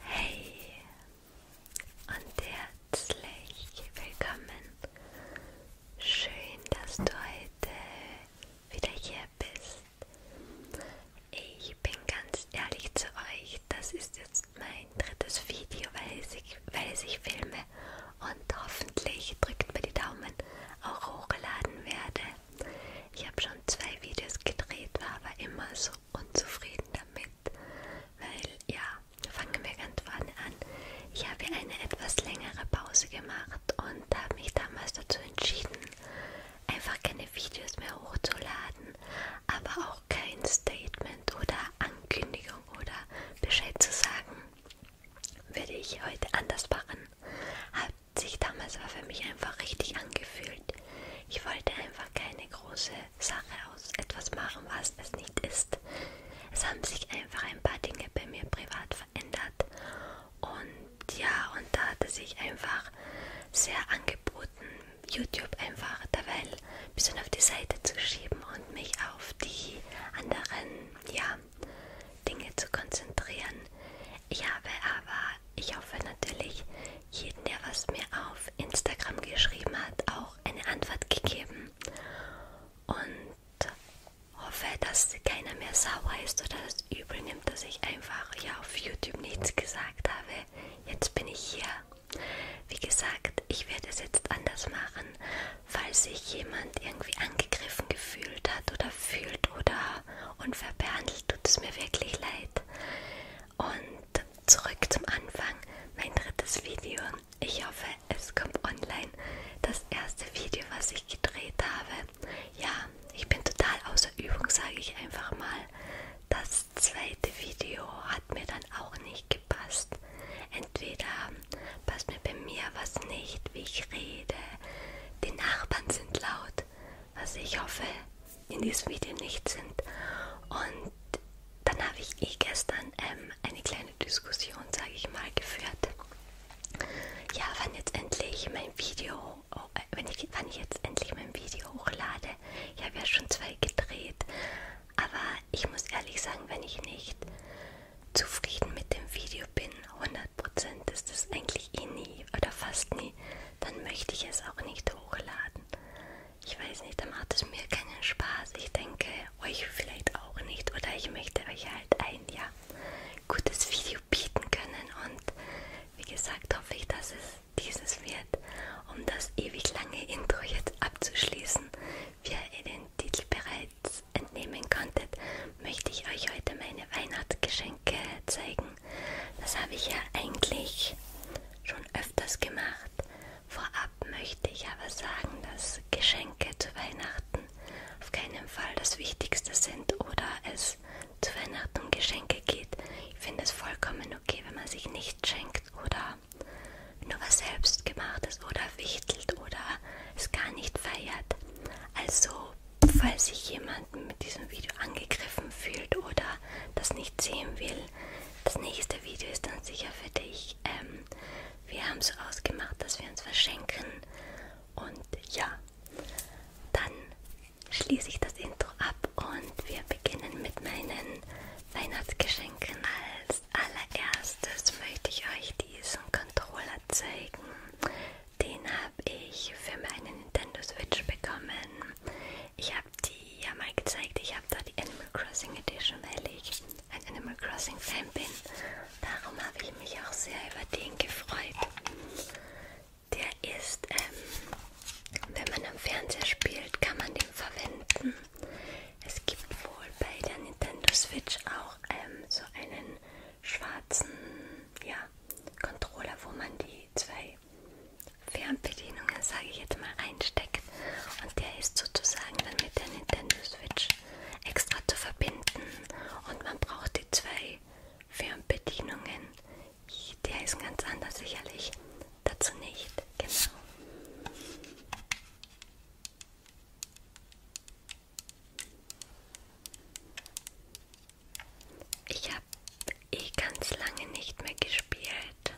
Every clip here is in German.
Hey und herzlich willkommen. Schön, dass du heute wieder hier bist. Ich bin ganz ehrlich zu euch, das ist jetzt mein drittes Video, welches ich, welches ich filme und hoffentlich drückt mir die Daumen auch hochgeladen werde. Ich habe schon zwei Videos gedreht, war aber immer so unzufrieden damit, weil ja, fangen wir ganz vorne an. Ich habe eine etwas längere Pause gemacht und habe mich damals dazu entschieden, einfach keine Videos mehr hochzuladen, aber auch kein Statement oder Ankündigung oder Bescheid zu sagen, würde ich heute anders machen. Habe hat sich damals war für mich einfach richtig angefühlt. Ich wollte einfach keine große Sache aus etwas machen, was es nicht ist. Es haben sich einfach ein paar Dinge bei mir privat verändert. Und ja, und da hat es sich einfach sehr angeboten, YouTube einfach derweil ein bisschen auf die Seite zu schieben und mich auf die anderen, ja, Dinge zu konzentrieren. Ich habe aber ich hoffe natürlich, jeden, der was mir auf Instagram geschrieben hat, auch eine Antwort gegeben. Und hoffe, dass keiner mehr sauer ist oder das übel nimmt, dass ich einfach ja auf YouTube nichts gesagt habe. Jetzt bin ich hier. Wie gesagt, ich werde es jetzt anders machen, falls sich jemand irgendwie angegriffen gefühlt hat oder fühlt oder unfair behandelt tut es mir wirklich leid. Und zurück zum Anfang, mein drittes Video. Ich hoffe, es kommt online. Das erste Video, was ich gedreht habe. Ja, ich bin total außer Übung, sage ich einfach mal. Das zweite Video hat mir dann auch nicht gepasst. Entweder passt mir bei mir was nicht, wie ich rede, die Nachbarn sind laut, was ich hoffe in diesem Video nicht sind. Und dann habe ich eh gestern ähm, eine kleine Diskussion, sage ich mal, geführt. Ja, wann jetzt endlich mein Video, oh, äh, wenn ich, wann ich jetzt endlich mein Video hochlade. Ich habe ja schon zwei gedreht, aber ich muss ehrlich sagen, wenn ich nicht zufrieden mit dem Video bin, 100% ist das eigentlich eh nie nie oder fast nie, dann möchte ich es auch nicht hochladen. Ich weiß nicht, dann macht es mir keinen Spaß. Ich denke, euch vielleicht auch nicht oder ich möchte euch halt ein ja, gutes Video bieten können und wie gesagt hoffe ich, dass es dieses wird, um das ewig lange Intro jetzt abzuschließen. Wie ihr den Titel bereits entnehmen konntet, möchte ich euch heute meine Weihnachtsgeschenke zeigen das habe ich ja eigentlich schon öfters gemacht. Vorab möchte ich aber sagen, dass Geschenke zu Weihnachten auf keinen Fall das Wichtigste sind oder es zu Weihnachten um Geschenke geht. Ich finde es vollkommen okay, wenn man sich nichts schenkt oder nur was selbst gemacht ist oder wichtelt oder es gar nicht feiert. Also falls sich jemanden mit diesem Video angegriffen fühlt oder das nicht sehen will, das nächste Video ist dann sicher für dich. Ähm, wir haben so ausgemacht, dass wir uns verschenken. Und ja, dann schließe ich das Intro ab und wir beginnen mit meinen Weihnachtsgeschenken. Als allererstes möchte ich euch diesen Controller zeigen. Den habe ich für meine Nintendo Switch bekommen. Ich habe die ja mal gezeigt. Ich habe da die Animal Crossing Edition, weil ich ein Animal Crossing Fan bin. Darum habe ich mich auch sehr über den gefreut. Der ist, ähm, wenn man am Fernseher spielt, kann man den verwenden. Es gibt wohl bei der Nintendo Switch auch ähm, so einen schwarzen ja, Controller, wo man die zwei Fernbedienungen, sage ich jetzt mal, reinsteckt. Und der ist sozusagen dann mit der Nintendo Switch extra zu verbinden. Und man braucht die zwei Fernbedienungen. Der ist ganz anders sicherlich. Dazu nicht. Genau. Ich habe eh ganz lange nicht mehr gespielt.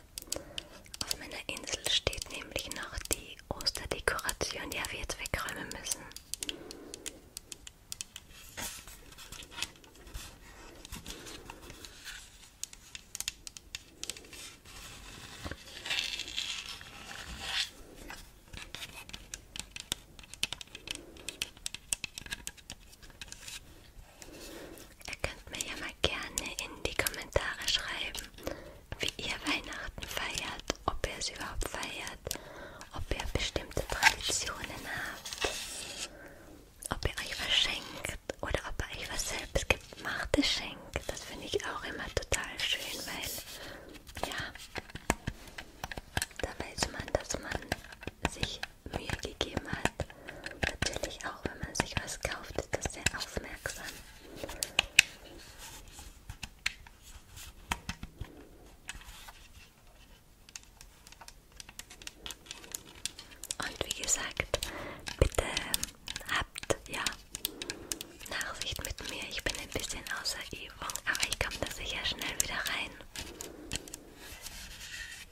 Auf meiner Insel steht nämlich noch die Osterdekoration, die wir jetzt wegräumen müssen. Ihr könnt mir ja mal gerne in die Kommentare schreiben, wie ihr Weihnachten feiert, ob ihr es überhaupt feiert, ob ihr bestimmte Traditionen habt, ob ihr euch was schenkt oder ob ihr euch was selbst gemachtes schenkt. Das finde ich auch immer total schön, weil ja, da weiß man, dass man sich Mühe gegeben hat. Natürlich auch, wenn man sich was kauft, ist das sehr aufmerksam. Und wie gesagt, bitte habt ja Nachsicht mit mir. Ich bin ein bisschen außer Übung, aber ich komme da sicher schnell wieder rein.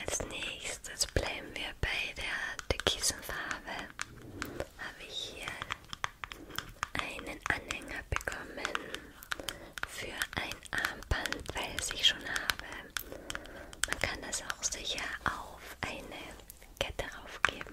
Als nächstes bleiben wir bei der Türkisenfarbe. Habe ich hier einen Anhänger bekommen für ein Armband, weil es ich schon habe. Man kann das auch sicher auf eine Kette raufgeben.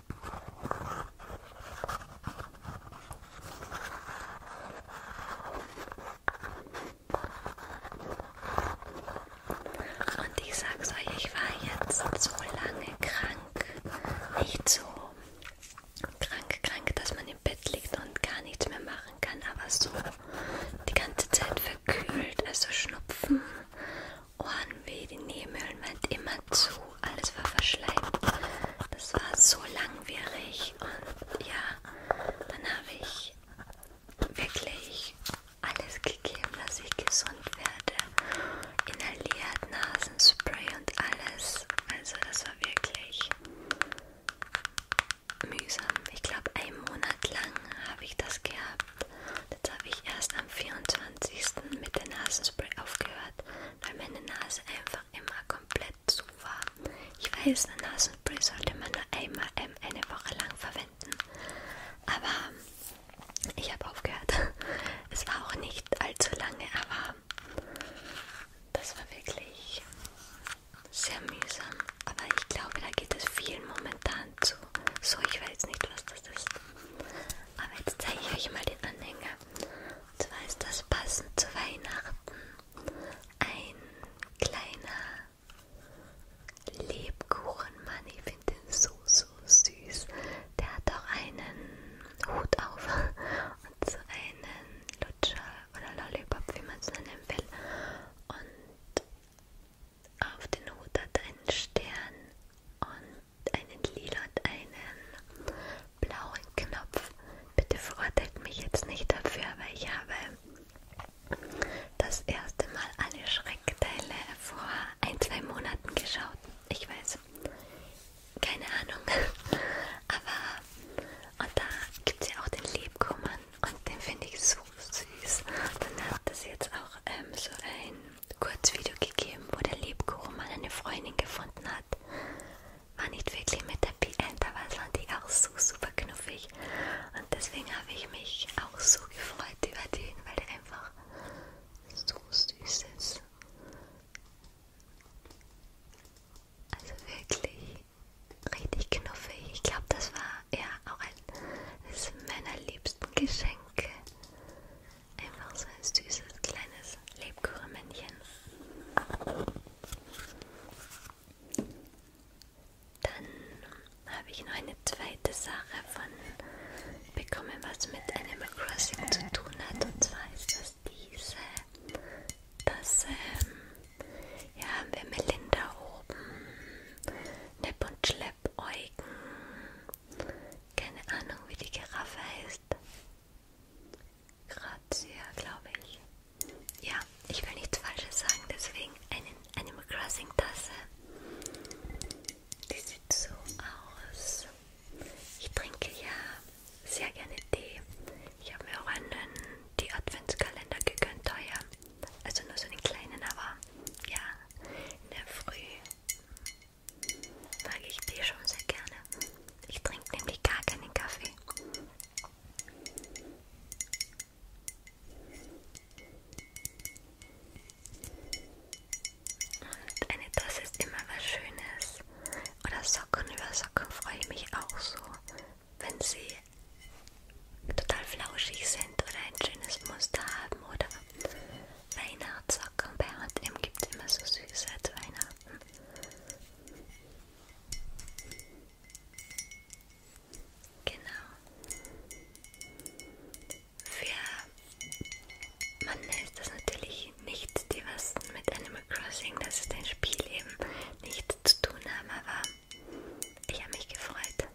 Und ich sag's euch, ich war jetzt so lange krank, nicht so krank, krank, dass man im Bett liegt und gar nichts mehr machen kann, aber so die ganze Zeit verkühlt, also Schnupfen, Ohrenweh, die Nebenhöhlen waren immer zu alles war verschleimt. Das war so langwierig und ja, dann habe ich wirklich alles gegeben, dass ich gesund werde. Inhaliert, Nasenspray und alles. Also das war wirklich mühsam. Ich glaube, einen Monat lang habe ich das gehabt. Jetzt habe ich erst am 24. mit der Nasenspray aufgehört, weil meine Nase einfach immer komplett zu war. Ich weiß, eine Nasenspray sollte man nur einmal eine Woche lang verwenden, aber ich habe aufgehört. Es war auch nicht allzu lange, aber das war wirklich sehr mühsam. Aber ich glaube, da geht es vielen momentan zu. So, ich weiß nicht, was das ist. Aber jetzt zeige ich euch mal den Anhänger zwar ist das passend zu Weihnachten ein kleiner Lebkuchenmann. Ich finde den so, so süß. Der hat auch einen Hut auf und so einen Lutscher oder Lollipop, wie man es nennen will. Und auf den Hut hat einen Stern und einen lila und einen blauen Knopf. Bitte verurteilt mich jetzt nicht dafür, weil ich habe das erste Mal alle Schreckteile vor ein, zwei Monaten geschaut. Ich weiß, keine Ahnung. Aber und da gibt es ja auch den Lebkuchen und den finde ich so süß. Dann hat es jetzt auch ähm, so ein Kurzvideo gegeben, wo der Lebkuchen mal eine Freundin gefunden hat war nicht wirklich mit Happy End, aber es fand ich auch so super knuffig. Und deswegen habe ich mich auch so gefreut über den, weil der einfach so süß ist. Also wirklich richtig knuffig. Ich glaube, das war ja auch eines meiner liebsten Geschenke. Einfach so ein süßes kleines Lebkuchenmännchen. Dann habe ich noch eine zweite Sache von bekommen, was mit Animal Crossing zu tun hat. Und zwar ist das diese. Das ähm, ja, haben wir Melinda oben. Nepp und Schlepp-Eugen. Keine Ahnung, wie die Giraffe heißt. Grazia, glaube ich. Ja, ich will nichts Falsches sagen, deswegen eine Animal Crossing Tasse. Die sieht so aus. Ich trinke ja sehr gerne Tee. Ich habe mir auch einen die Adventskalender gegönnt, teuer. Also nur so einen kleinen, aber ja, in der Früh mag ich Tee schon sehr gerne. Ich trinke nämlich gar keinen Kaffee. Und eine Tasse ist immer was Schönes. Oder Socken über Socken freue ich mich auch so, wenn sie total flauschig sind oder ein schönes Muster haben oder Weihnachtssocken. Bei HM gibt es immer so süße zu Weihnachten. Genau. Für Mann ist das natürlich nicht die was mit Animal Crossing, das ist ein Spiel eben, nichts zu tun haben, aber ich habe mich gefreut.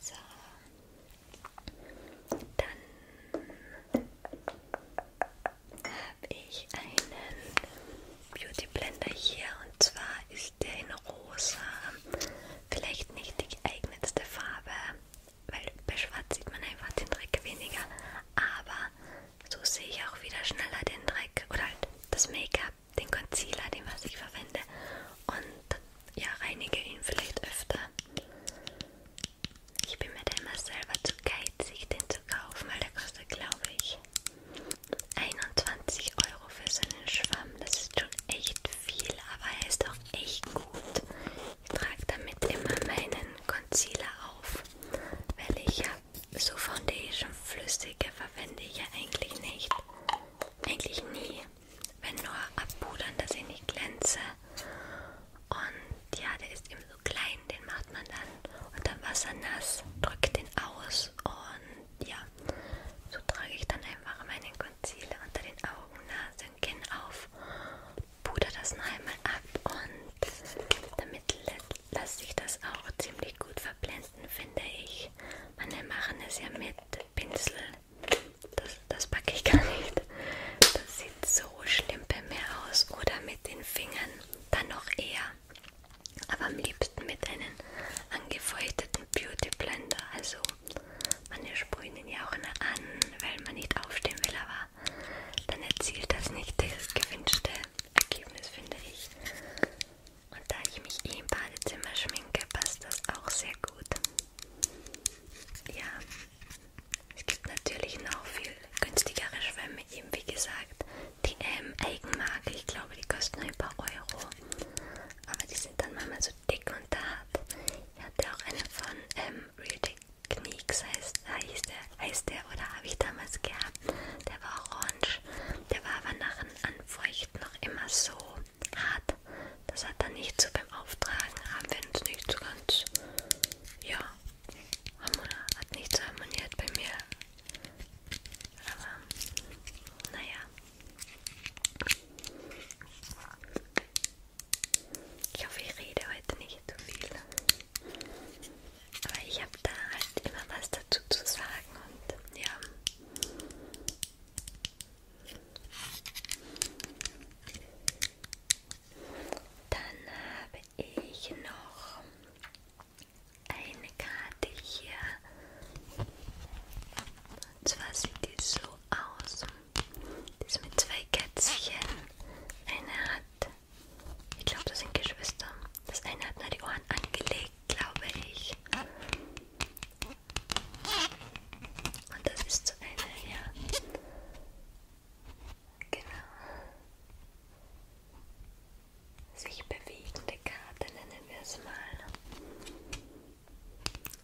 So. Dann habe ich einen Beauty Blender hier und zwar ist möchte in rosa. Vielleicht nicht die geeignetste Farbe, weil bei schwarz sieht man einfach den Dreck weniger. Aber so sehe ich auch wieder schneller den Dreck oder halt das Make-up, den Concealer, den was ich verwende. Und ja, reinige ihn vielleicht öfter. Ich bin mir da immer selber zu geizig, den zu kaufen, weil der kostet, glaube ich, 21 Euro für so einen Schwamm, das ist schon echt viel, aber er ist auch echt gut. Ich trage damit immer meinen Concealer auf, weil ich ja so Foundation flüssige verwende ich ja eigentlich nicht. Eigentlich nie. Wenn nur abpudern, dass ich nicht glänze. Und ja, der ist eben so klein, den macht man dann unter Wasser nass, drückt den aus aus und ja, so trage ich dann einfach meinen Concealer unter den Augen, Nase und Kinn auf, puder das noch einmal ab und damit lasse ich das auch ziemlich gut verblenden, finde ich. Manche machen es ja mit Pinsel, das, das packe ich gar nicht. Das sieht so schlimm bei mir aus oder mit den Fingern, dann noch eher. Aber am liebsten leuchten mit einem angefeuchteten Beauty Blender. Also manche sprühen ihn ja auch nur an, weil man nicht aufstehen will, aber dann erzielt das nicht das gewünschte Ergebnis, finde ich. Und da ich mich eh im Badezimmer schminke, passt das auch sehr gut. Ja, es gibt natürlich noch viel günstigere Schwämme, eben wie gesagt, die M-Eigenmarke, ähm, ich glaube, die kosten ein paar Euro aber die sind dann manchmal so dick und hart. Ich hatte auch eine von ähm, Real Techniques, heißt, heißt, der, heißt der, oder habe ich damals gehabt. Der war orange, der war aber nach dem Anfeuchten noch immer so hart. Das hat dann nicht so beim Auftragen, haben wir uns nicht so ganz, ja, hat nicht so harmoniert bei mir. Aber, naja. Ich hoffe, ich rede heute nicht zu viel. Aber ich habe da halt immer was dazu zu sagen und ja. Dann habe ich noch eine Karte hier. Und zwar sieht die so aus. Die ist mit zwei Kätzchen. Eine hat, ich glaube, das sind Geschwister. Das eine hat nur die Ohren angelegt, glaube ich. Und das ist so eine, ja. Genau. Sich bewegende Karte nennen wir es mal.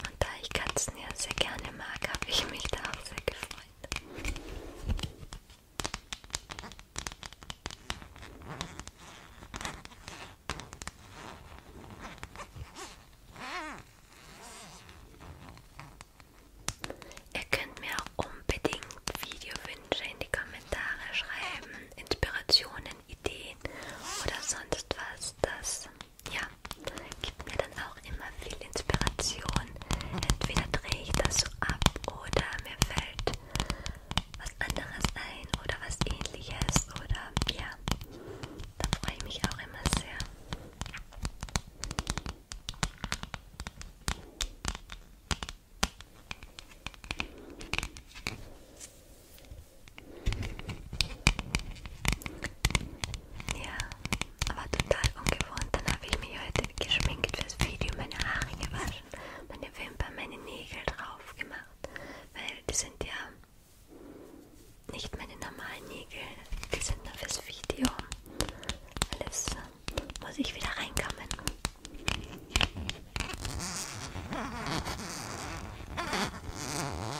Und da ich Katzen ja sehr gerne mag, habe ich mich da auch sehr gefreut. Ihr könnt mir auch unbedingt Videowünsche in die Kommentare schreiben, Inspirationen, tollen Ideen oder sonst was. Das ja, gibt mir dann auch immer viel Inspiration. Entweder drehe ich das so ab oder mir fällt was anderes ein oder was ähnliches oder ja, da freue ich mich auch immer sehr. Ja, aber total ungewohnt. Dann habe ich mich heute geschminkt fürs Video, meine Haare gewaschen, meine Wimpern, meine Nägel drauf gemacht, weil die sind ja nicht meine normalen Nägel, die sind nur fürs Video. Alles muss ich wieder reinkommen.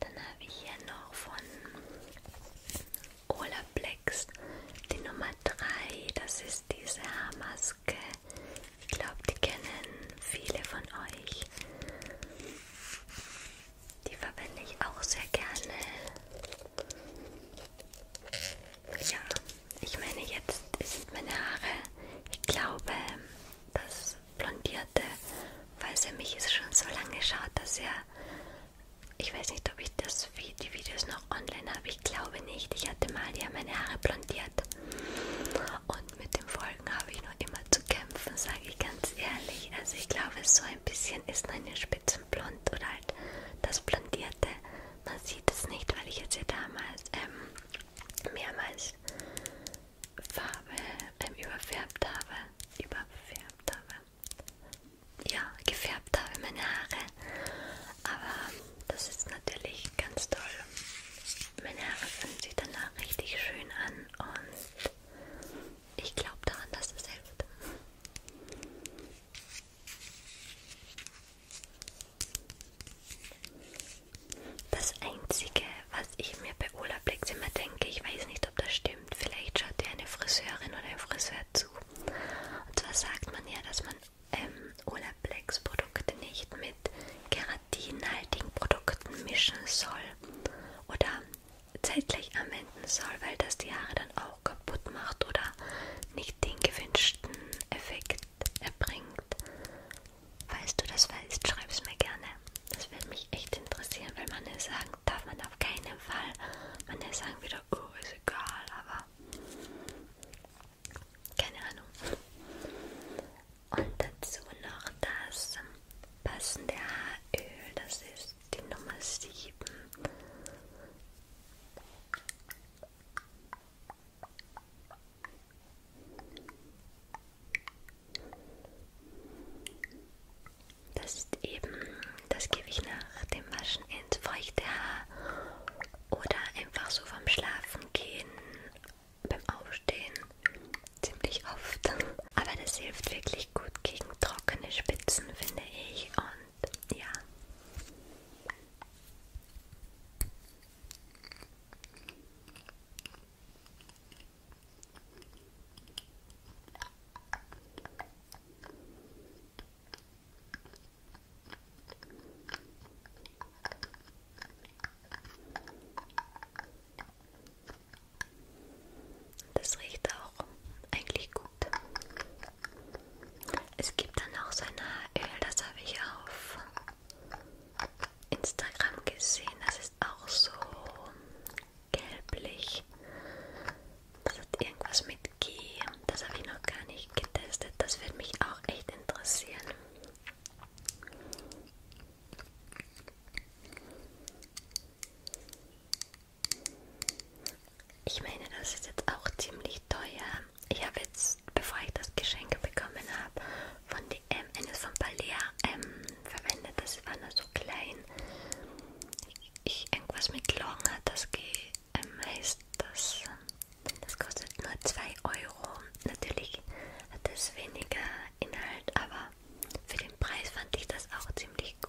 Dann habe ich hier noch von Olaplex die Nummer 3. Das ist diese Haarmaske. Ich glaube, die kennen viele von euch. Die verwende ich auch sehr gerne. Ja, ich meine, jetzt sind meine Haare, ich glaube, das blondierte weil es für mich ist schon so lange schaut, dass er, ich weiß nicht, ob ich das, die Videos noch online habe, ich glaube nicht. Ich hatte mal ja meine Haare blondiert und mit den Folgen habe ich noch immer zu kämpfen, sage ich ganz ehrlich. Also ich glaube, so ein bisschen ist meine Spitzenblond oder halt das Blondierte. Man sieht es nicht, weil ich jetzt ja damals ähm, mehrmals Farbe ähm, überfärbt habe. Überfärbt habe ja, gefärbt habe, meine Haare. Aber das ist natürlich ganz toll. Meine Haare fühlen sich danach richtig schön an und ich glaube daran, dass es hilft. Das Einzige, was ich mir bei Olaplex immer denke, ich weiß nicht, ob das stimmt, bestimmt. Vielleicht schaut dir eine Friseurin oder ein Friseur zu. Und zwar sagt man ja, dass man ähm, Olaplex-Produkte nicht mit keratinhaltigen Produkten mischen soll oder zeitgleich anwenden soll, weil das die Haare dann auch kaputt macht oder nicht den gewünschten Effekt erbringt. Falls du das weißt, schreib es mir gerne. Das würde mich echt interessieren, weil manche sagen, sagen darf man auf keinen Fall. Manche sagen wieder, oh, ist egal, aber keine Ahnung. Und dazu noch das passende Haaröl, das ist die Nummer 7. Das ist eben, das gebe ich nach dem Waschen ins feuchte Haar oder einfach so vom Schlafen gehen, beim Aufstehen, ziemlich oft. Aber das hilft wirklich gut gegen trockene Spitzen, finde ich. Und ja. Das riecht auch eigentlich gut. Es gibt dann auch so ein Haaröl, das habe ich auf Instagram gesehen. Das ist auch so gelblich. Das hat irgendwas mit G. Das habe ich noch gar nicht getestet. Das würde mich auch echt interessieren. Ich meine, das ist jetzt auch ziemlich teuer. Ich habe jetzt, bevor ich das Geschenk bekommen habe, von DM eines von Balea ähm, verwendet. Das war nur so klein ich irgendwas mit Long hat, das geht, ähm, heißt das, ähm, das kostet nur 2 Euro. Natürlich hat es weniger Inhalt, aber für den Preis fand ich das auch ziemlich gut.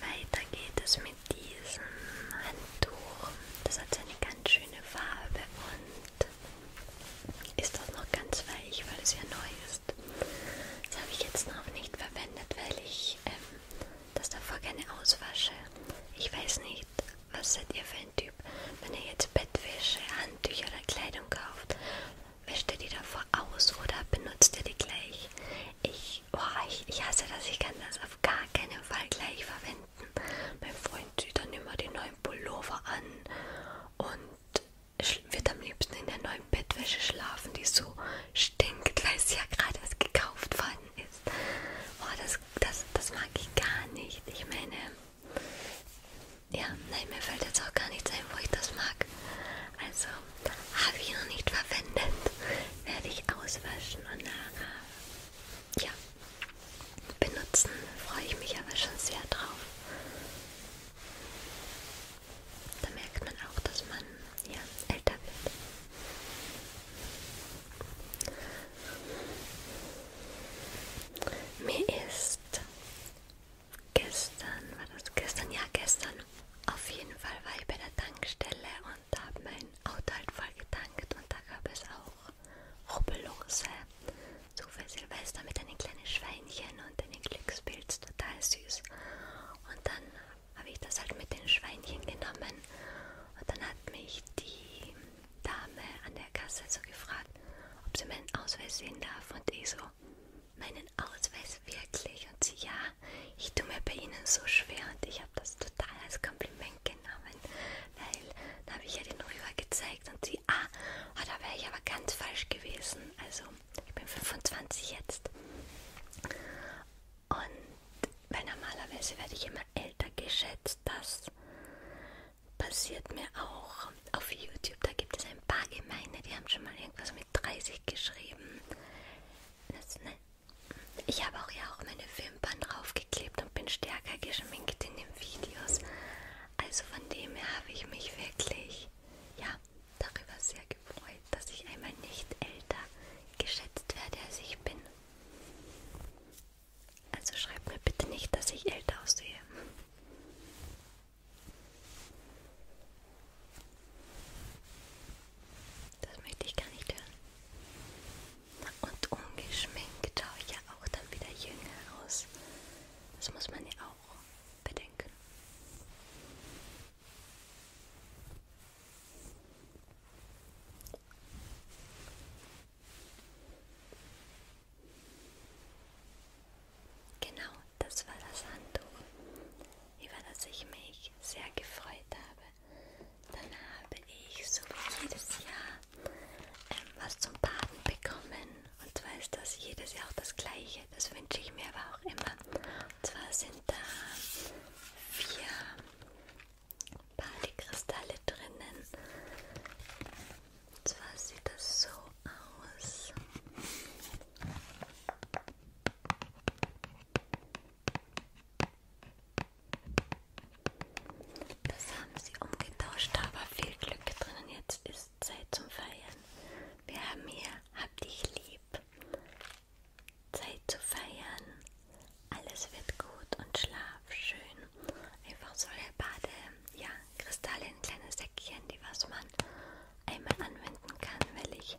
Weiter geht es mit diesem Handtuch. Das hat so eine ganz schöne Farbe und ist auch noch ganz weich, weil es ja neu ist. Das habe ich jetzt noch nicht verwendet, weil ich ähm, das davor gerne auswasche. Ich weiß nicht, was seid ihr für ein Typ, wenn ihr jetzt Bettwäsche, Handtücher oder Kleidung kauft. Wäscht ihr die davor aus oder benutzt ihr die gleich? Ich ich, oh, ich, ich hasse das, ich kann das auf gar keinen Fall gleich verwenden. Mein Freund zieht dann immer die neuen Pullover an und wird am liebsten in der neuen Bettwäsche schlafen, die so stinkt, weil sie ja gerade erst gekauft worden ist. Oh, das, das, das mag ich gar nicht. Ich meine, ja, nein, mir fällt jetzt auch gar nichts ein, wo ich das mag. Also, habe ich noch nicht verwendet. Werde ich auswaschen und nachher ja, benutzen. Freue ich mich aber schon sehr drauf. Da merkt man auch, dass man ja, älter wird. Mir ist gestern, war das gestern? Ja, gestern auf jeden Fall war ich bei der Tankstelle und habe mein Auto halt voll getankt und da gab es auch Rubbellose. So für Silvester mit einem kleinen Schweinchen und einem Glückspilz, total süß. Und dann habe ich das halt mit den Schweinchen genommen und dann hat mich die Dame an der Kasse so gefragt, ob sie meinen Ausweis sehen darf und ich so, meinen Ausweis wirklich? Und sie, ja, ich tue mir bei Ihnen so schwer und ich habe das total als Kompliment genommen, weil da habe ich ja den Rüber gezeigt und sie, ah, oh, da wäre ich aber ganz falsch gewesen. Also, ich bin 25 jetzt. Und weil normalerweise werde ich immer älter geschätzt, das passiert mir auch auf YouTube. Da gibt es ein paar Gemeine, die haben schon mal irgendwas mit 30 geschrieben. Das, ne, ich habe auch ja auch meine Wimpern draufgeklebt und bin stärker geschminkt in den Videos. Also von dem her habe ich mich wirklich ja darüber sehr gefreut, dass ich einmal nicht älter geschätzt werde, als ich bin. Also schreibt mir bitte nicht, dass ich älter aussehe. Das möchte ich gar nicht hören. Und ungeschminkt schaue ich ja auch dann wieder jünger aus. Das muss man ja auch bedenken. Genau, das war das Handtuch, über das ich mich sehr gefreut habe. Dann habe ich, so wie jedes Jahr, ähm, was zum Baden bekommen. Und zwar ist das jedes Jahr auch das gleiche. Das wünsche ich mir aber auch immer. Und zwar sind da vier Badekristalle drinnen. Und zwar sieht das so aus. Das haben sie umgetauscht, da war viel Glück drin und jetzt ist Zeit zum Feiern. Wir haben hier Hab dich lieb. Zeit zu feiern. Alles wird gut und schlaf schön. Einfach solche Bade, ja, Kristalle, ein kleines Säckchen, die was man einmal anwenden kann, weil ich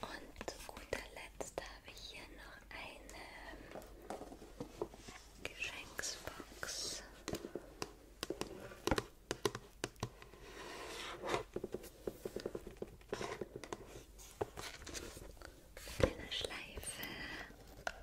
Und guter Letzt habe ich hier noch eine Geschenksbox. Eine Schleife. Eine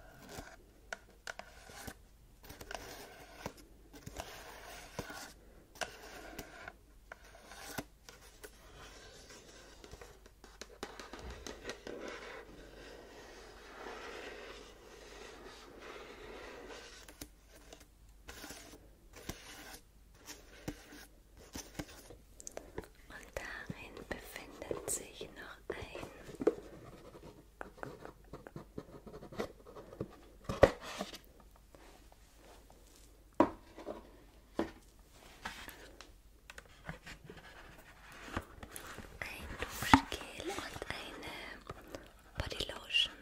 und darin befindet sich noch ein ein Duschgel und eine Bodylotion.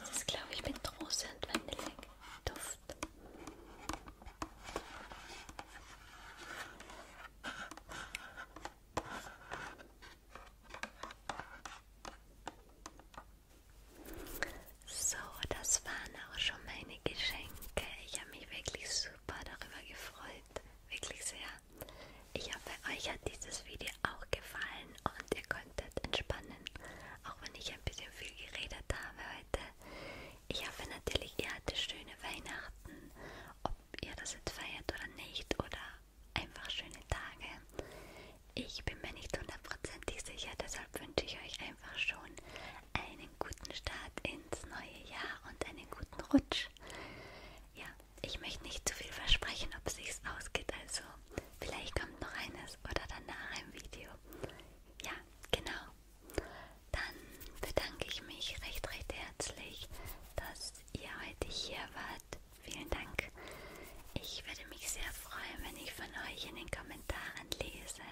Das ist, glaube ich, mit Rose und Vanilleduft. So, das waren auch schon meine Geschenke. Ich habe mich wirklich super darüber gefreut. Wirklich sehr ich hoffe, euch hat dieses Video auch gefallen und ihr konntet entspannen, auch wenn ich ein bisschen viel geredet habe heute. Ich hoffe natürlich, ihr hattet schöne Weihnachten, ob ihr das jetzt feiert oder nicht, oder einfach schöne Tage. Ich bin mir nicht hundertprozentig sicher, deshalb wünsche ich euch einfach schon einen guten Start ins neue Jahr und einen guten Rutsch. Ja, ich möchte nicht zu viel versprechen, ob es sich ausgeht. Also, vielleicht kommt noch eines oder danach ein Video. Ja, genau. Dann bedanke ich mich recht, recht herzlich, dass ihr heute hier wart. Vielen Dank. Ich würde mich sehr freuen, wenn ich von euch in den Kommentaren lese.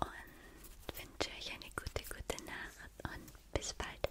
Und wünsche euch eine gute, gute Nacht und bis bald.